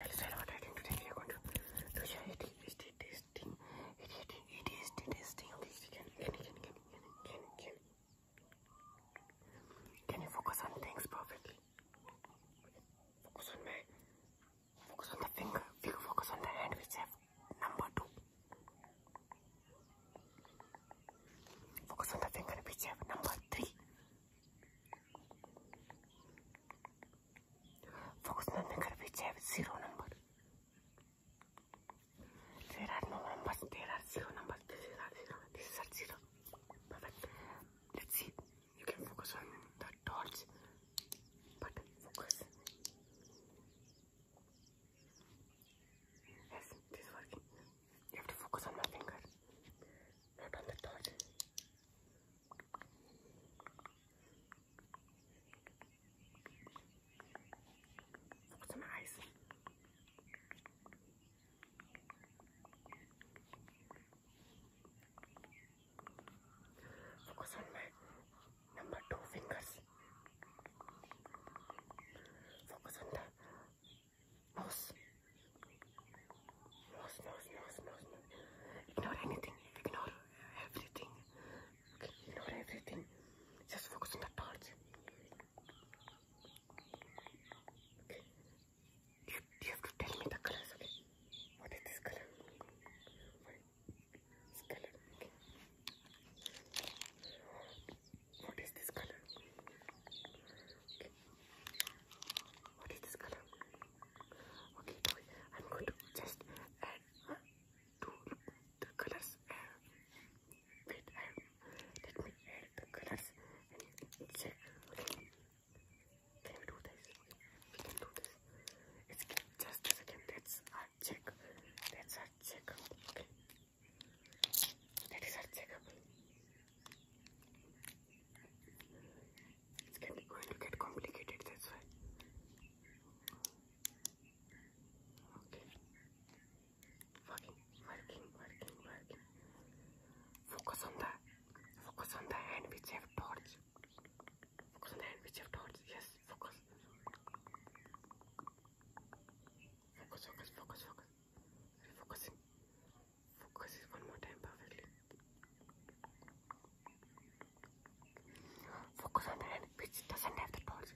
i can, you focus on things perfectly? Focus on my, focus on the finger. Finger focus on the hand which have number two. Focus on the finger which have number three. Fortunately, which have zero number. There are no numbers. There zero numbers. This is at zero. This zero. Let's see. You can focus on the dots, but focus. Yes, this working. You have to focus on my finger, not on the dot. Focus on my eyes. Focus on my number two fingers. Focus on the nose. No, no, no, no, no. Ignore anything. Ignore everything. Okay, ignore everything. Just focus on that part. Okay. You, you have to tell me the colors, okay? What is this color? What is this color? Okay. What is this color? Okay. What is this color? Okay, now I'm going to just add uh, two colors. Uh, wait, uh, let me add the colors and check. Can we do this? We can do this. It's just a second. That's our check. That's our check. Okay. That is our it's getting, going to get complicated, that's why. Working, working, working, working. Focus on the, focus on the hand which have torch. Focus on the hand which have torch. Yes, focus. Focus, focus, focus, focus. Refocusing. Focus it one more time perfectly. Focus on the hand which doesn't have the balls.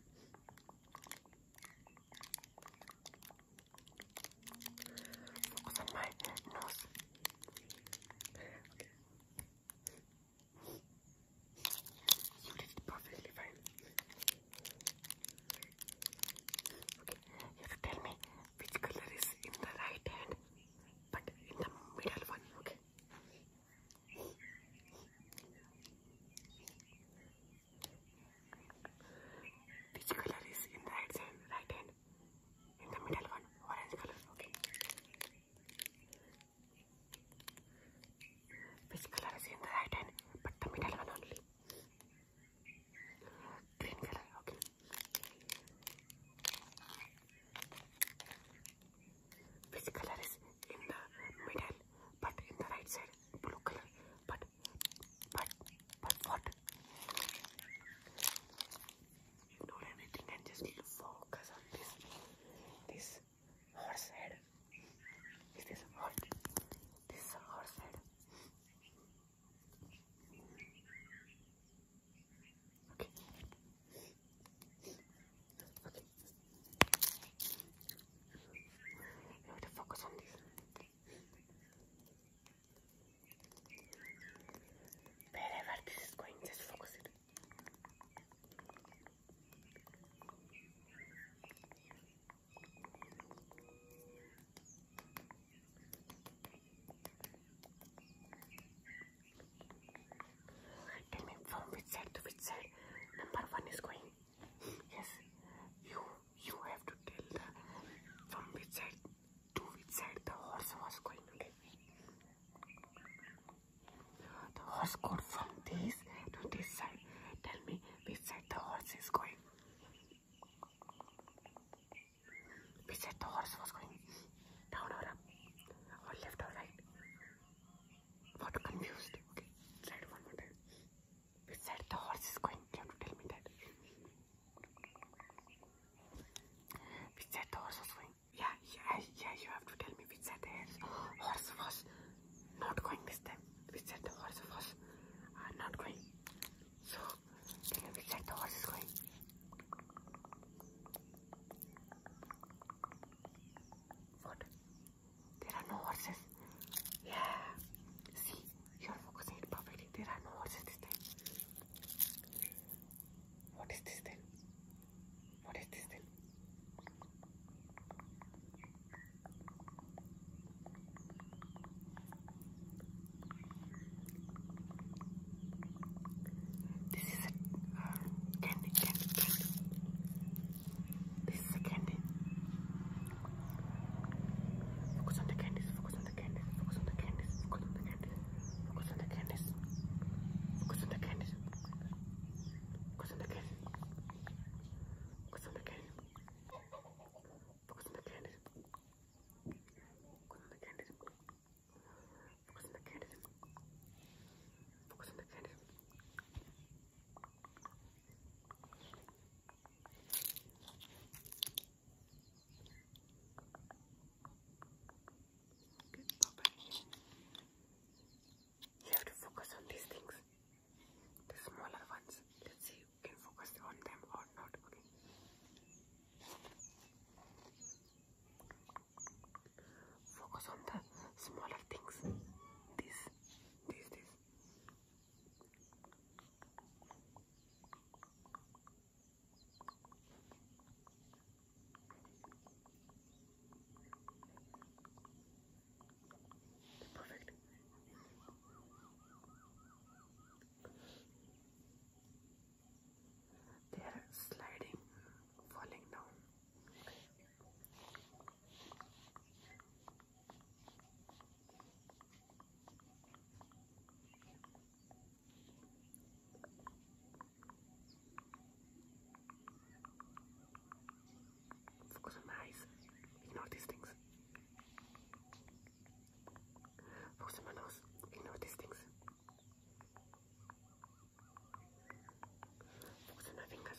Focus on my nose. Okay. You did it perfectly fine. Okay, you have to tell me which color is in the right hand but in the middle one, okay? Which color is in the right hand, right hand? In the middle one, orange color, okay? Which color is in the right hand but the middle one only? Green color, okay. Which color is in the middle, but in the right side, blue color. But, but, but what? Ignore everything and just focus on this. This horse head. Is this horse? This horse head. Okay. Okay. You have to focus on this. Wherever this is going, just focus it. Okay. Tell me from which side to which side number one is going. Yes, you you have to tell the from which side to which side the horse was going. Okay. The horse goes from this to this side. Tell me which side the horse is going. We said the horse was going down or up, or left or right. Got confused. Okay, try it one more time. We said the horse is going. You have to tell me that. We said the horse was going. Yeah, yeah, yeah. You have to tell me which said the horse was not going this time we said the horse was not going. So we said the horse going. What? There are no horses. Yeah. See, you're focusing it perfectly. There are no horses What is this then? What is this then? This is a uh, candy, candy, candy. This is a candy. Focus on the candies, focus on the candies, focus on the candies, focus on the candies, focus on the candies, focus on the candies, focus on the candies, focus on the candies. Focus on the candid. Focus on the candid. Focus on the candid. Focus on the candid. Good, you have to focus on these things, the smaller ones. Let's see can focus on them or not. Focus on the smaller things. This, this, this. Perfect. They are sliding, falling down. Focus on my eyes. Ignore these things. Focus on my nose. Ignore these things. Focus on my fingers.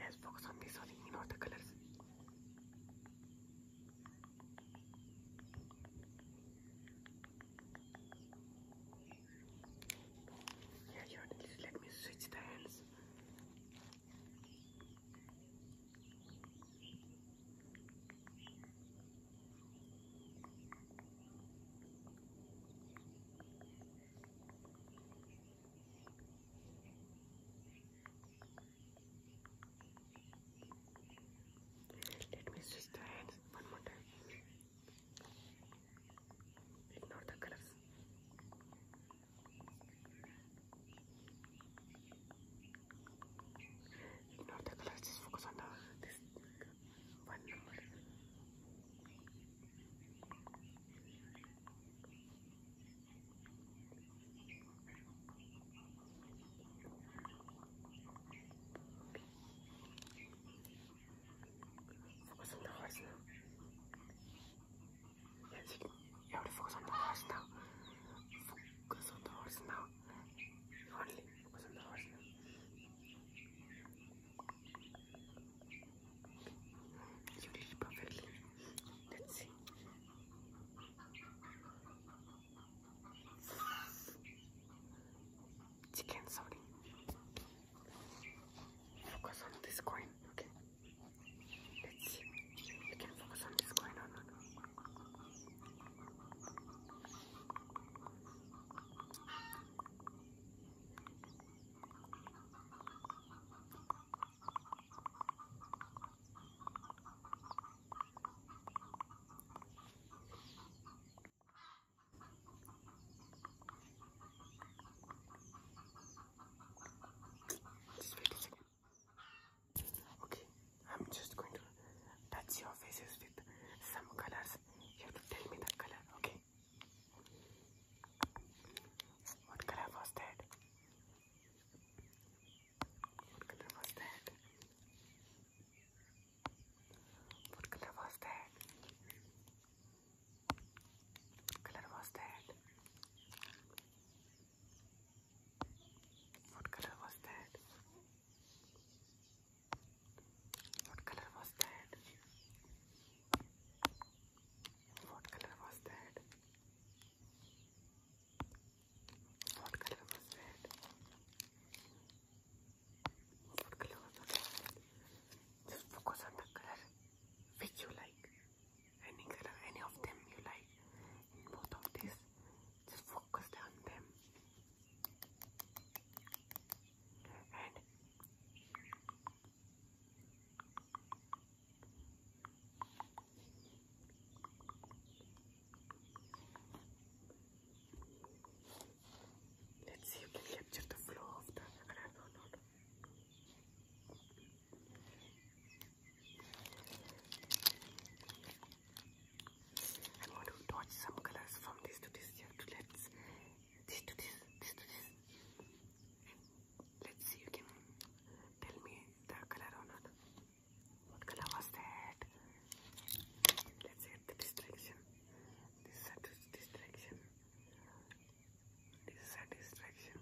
Let's focus on this one, ignore the colors. Yeah, yeah, at least let me switch the hands. Let me switch the hands one more time. Elini orada kırarsın. Elini orada kırar. Just focus on the this one number. Focus on the horse now. Yes, you, you have to focus on the horse now. Focus on the horse now. Only focus on the horse now. You did it perfectly. Let's see. チキンソーリー Focus on this coin, okay? Let's see. You can focus on this coin or not. Just wait a second. Okay, I'm just going to touch your faces with some colors. You have to tell me the color, okay? What color was that? What color was that? What color was that? What color was that? What color was that? What color was that? What color was that? What color was that? Put clothes on your head. Just focus on the color which you like. Any color, any of them you like. In both of these, just focus on them. And Let's see you can capture the flow of the color. No, no, no. I want to touch some colors from this to this here to let's this to this, this to this. Let's see you can tell me the color or not. What color was that? Let's get the distraction. This is a distraction. This is a distraction.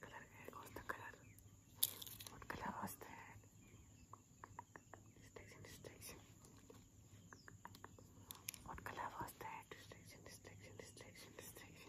Color A was the color. What color was that? Distraction, distraction. What color was that? Distraction, distraction, distraction, distraction.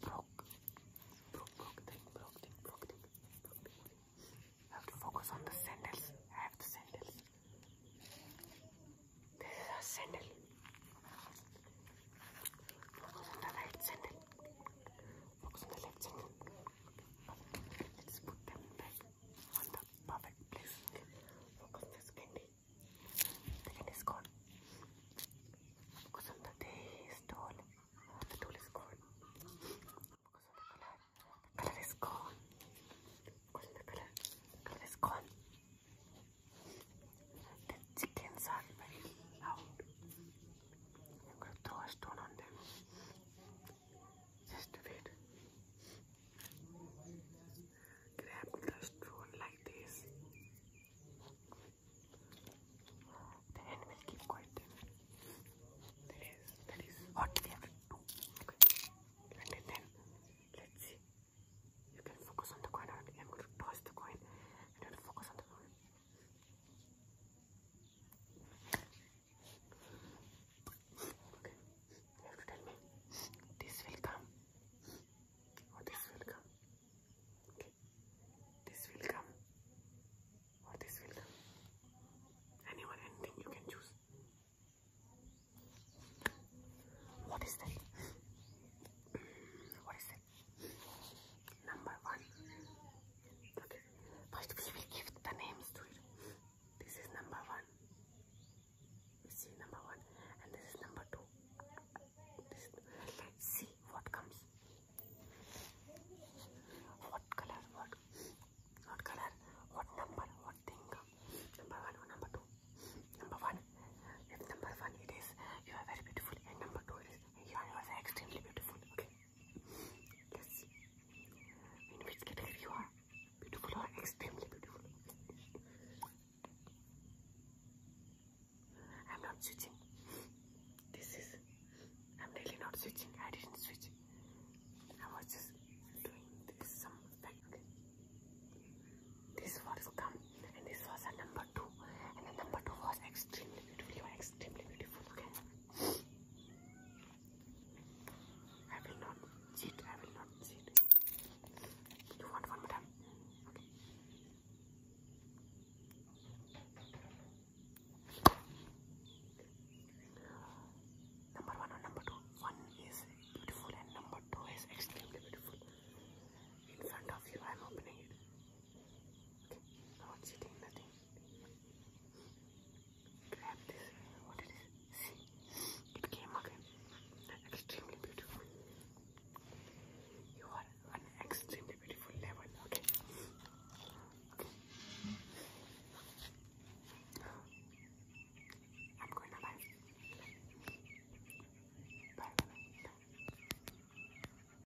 Broke. Broke, broke thing, broke thing, broke thing, broke thing. I have to focus on the sandals. I have the sandals. This is a sandal. Focus on the right sandal. Focus on the left side. Let's put them back on the perfect place. Focus on this candy. The candy is gone. Focus on the taste tool. The tool is gone. Focus the color. The color is gone. Focus The color is gone. The chickens are very loud. I'm going to throw a stone on them. Just wait. Grab the stone like this. The hand will keep quiet. That is, that is what we have to do. Okay. And then, let's see. You can focus on the coin. I'm going to toss the coin and you will focus on the coin. Okay. You have to tell me. This will come. Or this will come. Okay. This will come. Or this will come. Anyone, anything you can choose. What is that? What is that? Number one. Okay. But we will give the names to it. This is number one. We see number one, and this is number two. let's see what comes. What color? What? What color? What number? What thing Number one or number two? Number one. If number one it is, you are very beautiful, and number two it is, you are, you extremely beautiful. Okay. Yes. In which category you are? Beautiful or extremely beautiful? I'm not switching. This is. I'm really not switching. I didn't switch. I was just doing this some like this was come and this was a number two and the number two was extremely beautiful. You are extremely beautiful. I will not cheat. I will not cheat. You want one more Number one or number two? One is beautiful and number two is extremely beautiful. In front of you, I'm opening it. Okay, now it's sitting nothing. Grab this. What it is? See, it came again. Extremely beautiful. You are an extremely beautiful level. Okay. Okay. I'm going to live. Bye. Bye.